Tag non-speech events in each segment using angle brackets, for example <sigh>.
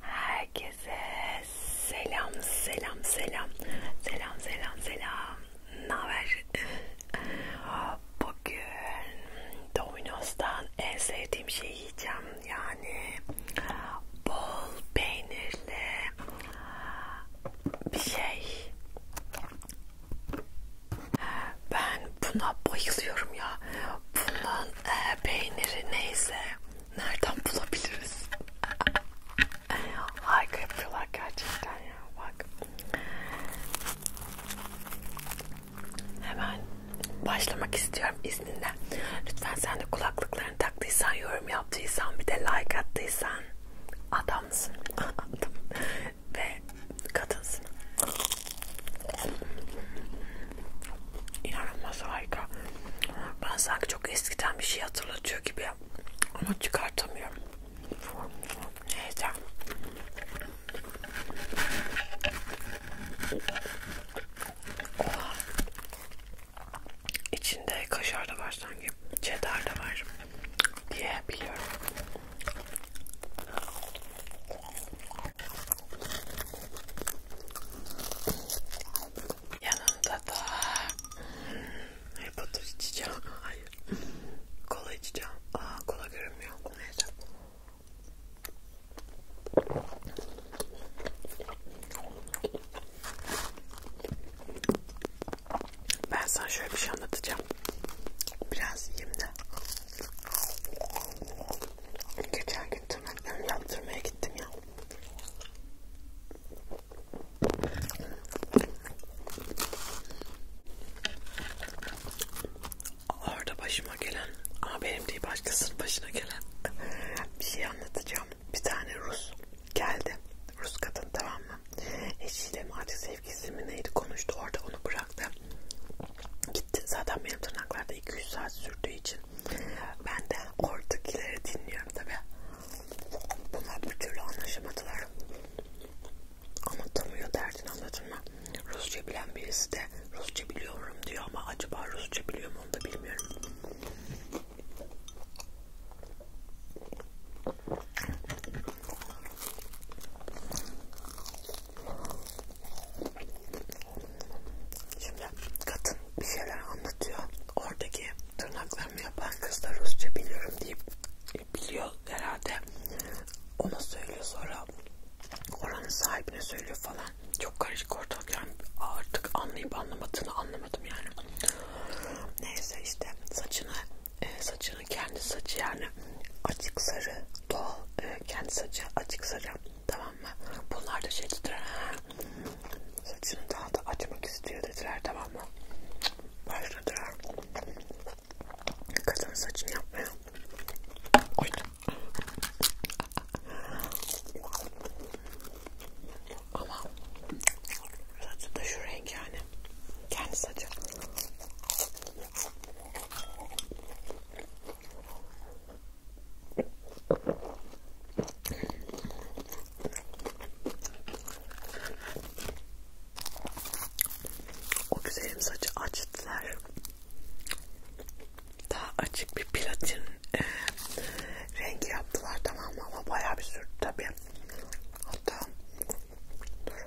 Herkese selam selam selam selam selam selam. Naber? <laughs> Bugün Domino's'tan en sevdiğim şeyi yiyeceğim. Yani bol peynirli bir şey. Ben buna bayılıyorum ya. Bunun e, peyniri neyse nereden bulabiliriz? <laughs> Harika yapıyorlar gerçekten ya bak. Hemen başlamak istiyorum izninle. Lütfen sen de kulaklıklarını taktıysan, yorum yaptıysan, bir de like attıysan adamsın. <laughs> Adam. Ve kadınsın. İnanılmaz harika. Ben sanki çok eskiden bir şey hatırlatıyor gibi ama çıkartamıyorum. Neyse. Oha. İçinde kaşar da var sanki. Cheddar da var diye biliyorum. Yanında da hmm, hipotur içeceğim. Hayır. Kola içeceğim. Aa kola görünmüyor. Neyse. Ben sana şöyle bir şey anlatacağım. Biraz yiyeyim de. Geçen gün tırnaklarımı yaptırmaya gittim ya. Orada başıma gelen ama benim değil başkasının başına gelen bir şey anlatacağım. Bir tane Rus geldi. Rus kadın tamam mı? Eşiyle mi artık sevgilisi mi neydi konuştu orada onu bıraktı. Gitti zaten benim tırnaklarda 2-3 saat sürdüğü için ben de ortakileri dinliyorum tabi. Bunlar bir türlü anlaşamadılar. Anlatamıyor derdini anladın mı? Rusça bilen birisi de Rusça biliyorum diyor ama acaba Rusça biliyor mu onu da bilmiyorum. Şimdi kadın bir şeyler anlatıyor. Oradaki tırnaklarımı yapan kızlar Rusça biliyorum deyip biliyor herhalde. Ona söylüyor sonra oranın sahibine söylüyor falan. Çok karışık ortalık yani artık anlayıp anlamadığını anlamadım yani. Neyse işte saçını e, saçını kendi saçı yani açık sarı doğal e, kendi saçı açık sarı Tamam mı? Bunlar da şey dediler. Saçını daha da açmak istiyor dediler. Tamam mı? Başladılar. Kadın saçını yapmaya. Oy. Ama saçı da şu renk yani. Kendi saçı. O güzelim saçı açtılar. Daha açık bir platin e, rengi yaptılar tamam mı ama bayağı bir sürdü tabii. Hatta dur.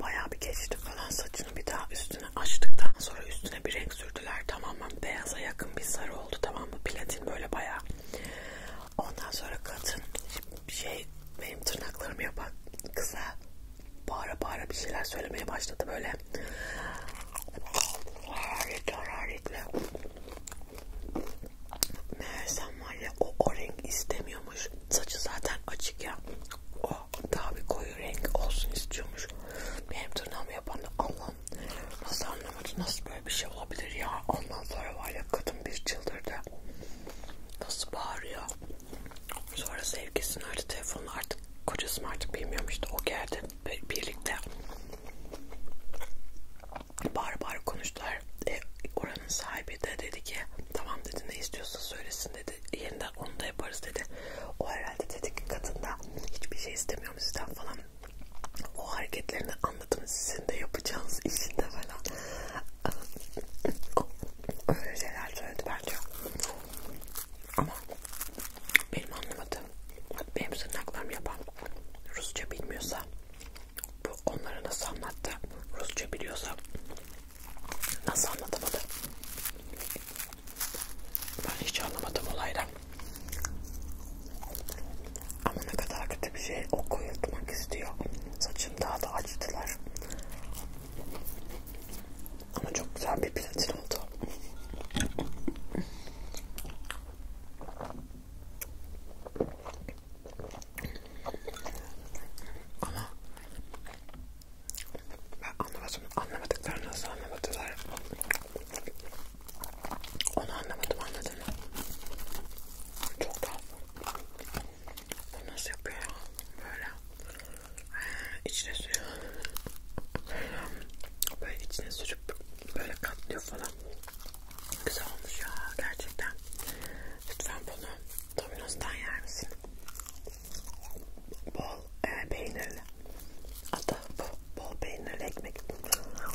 Bayağı bir geçti falan saçını bir daha üstüne açtıktan sonra üstüne bir renk sürdüler tamamen beyaza yakın bir sarı oldu tamam mı platin böyle bayağı. Ondan sonra kadın şey benim tırnaklarım yapan kıza bağıra bağıra bir şeyler söylemeye başladı böyle. Hararetli hararetli. Meğersem var ya o, o renk istemiyormuş. Saçı zaten açık ya. O daha bir koyu renk olsun istiyormuş. Benim tırnağımı yapan da Allah'ım nasıl anlamadı nasıl böyle bir şey olabilir ya. Ondan sonra var ya kadın bir çıldırdı. Nasıl bağırıyor. Sonra sevgisini aradı telefonla artık kocası mı artık bilmiyormuştu. O geldi birlikte bağır bağır konuştular. E, oranın sahibi de dedi ki tamam dedi ne istiyorsa söylesin dedi. Yeniden onu da yaparız dedi. O herhalde dedi ki kadında hiçbir şey istemiyorum sizden falan. O hareketlerini anladım sizin de yapacağınız işinde falan. <laughs> Öyle şeyler söyledi. Ben bence. Ama benim anlamadığım, benim sırnaklarım yapan Rusça bilmiyorsa bu onlara nasıl anlattı? Rusça biliyorsa nasıl anlatamadı? Ben hiç anlamadım olaydan. Ama ne kadar kötü bir şey o koyultmak istiyor. Saçım daha da açtılar. Ama çok güzel bir platin oldu. Ama ben anlamadım. Anlamadıklarını nasıl anlamadılar? Onu anlamadım anladın mı? Çok tatlı. Bu nasıl yapıyor? Böyle. İçine sürüyor. Böyle, böyle içine sürüp böyle katlıyor falan. Güzel olmuş ya gerçekten. Lütfen bunu Domino's'tan yer misin? Bol e, peynirli. Hatta bu bol peynirli ekmek. Mükemmel.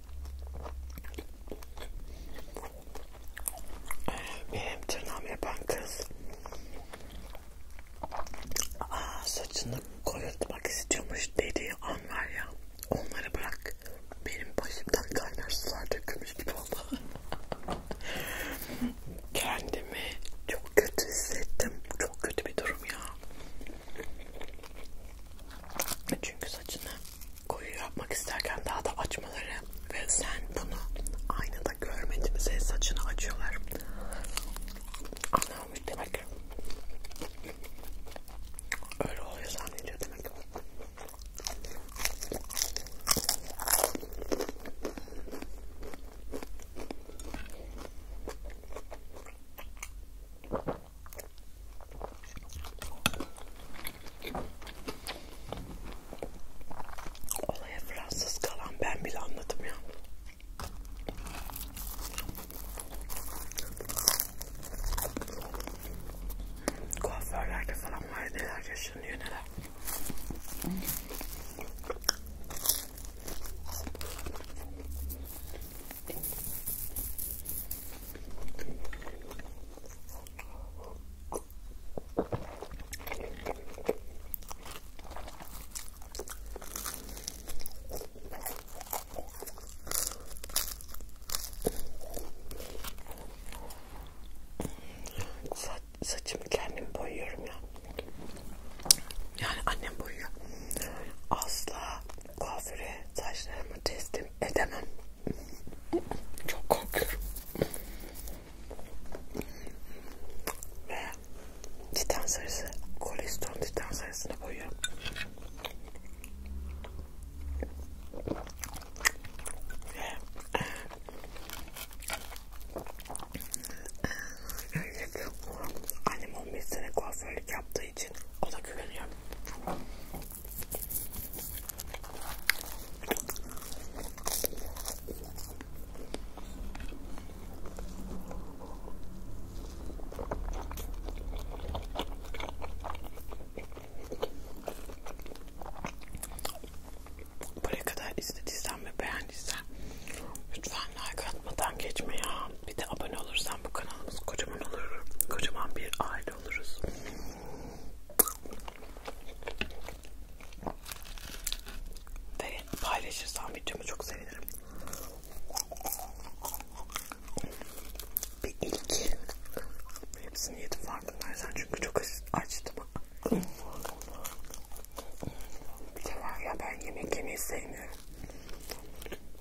Benim tırnağımı yapan kız Aa, saçını koyutmak istiyormuş dediği an var ya onları bırak benim başımdan kaynar sular dökülmüş gibi oldu <laughs> kendimi çok kötü hissettim çok kötü bir durum ya çünkü saçını koyu yapmak isterken daha da açmaları ve sen bunu aynada görmedin senin saçını açıyorlar anlamamış demek ki öyle oluyor zannediyor demek ki Olaya Fransız kalan ben bile anladım ya. Kuaförlerde falan var neler yaşanıyor neler. Sa saçımı kendim boyuyorum ya. Yani annem boyuyor. Asla kuaföre saçlarımı teslim edemem. Çok korkuyorum. Ve titan sarısı, koliston titan sarısını koyuyorum. Ve e, annem 15 sene kuaförlük yaptığı için ona güveniyorum. Buraya kadar izlediysen ve beğendiysen lütfen like atmadan geçme ya bir de abone olursan bu kanalımız kocaman olur. Kocaman bir aile oluruz. Ve paylaşırsan videomu çok sevinirim. Bir ilk. Hepsini yedim farkındaysan çünkü çok açtım. Bir de var ya ben yemek yemeyi sevmiyorum.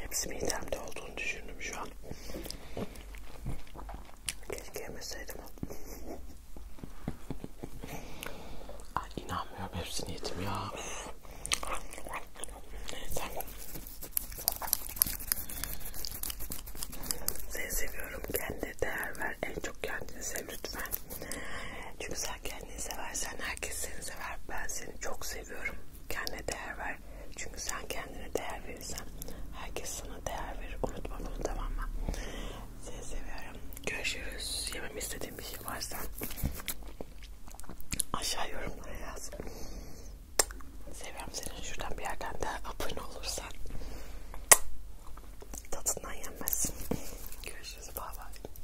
Hepsi midemde olduğunu düşündüm şu an. Keşke yemeseydim. Ay inanmıyorum hepsini yedim ya. Neyse. Seni seviyorum. Kendine değer ver. En çok kendini sev lütfen. Çünkü sen sen kendini seversen herkes seni sever. Ben seni çok seviyorum. Kendine değer ver. Çünkü sen kendine değer verirsen herkes sana değer verir. Unutma bunu tamam mı? Seni seviyorum. Görüşürüz. Yemem istediğim bir şey varsa aşağı yorumlara yaz. Seviyorum seni. Şuradan bir yerden de abone olursan tadından yenmezsin. Görüşürüz. Bye bye.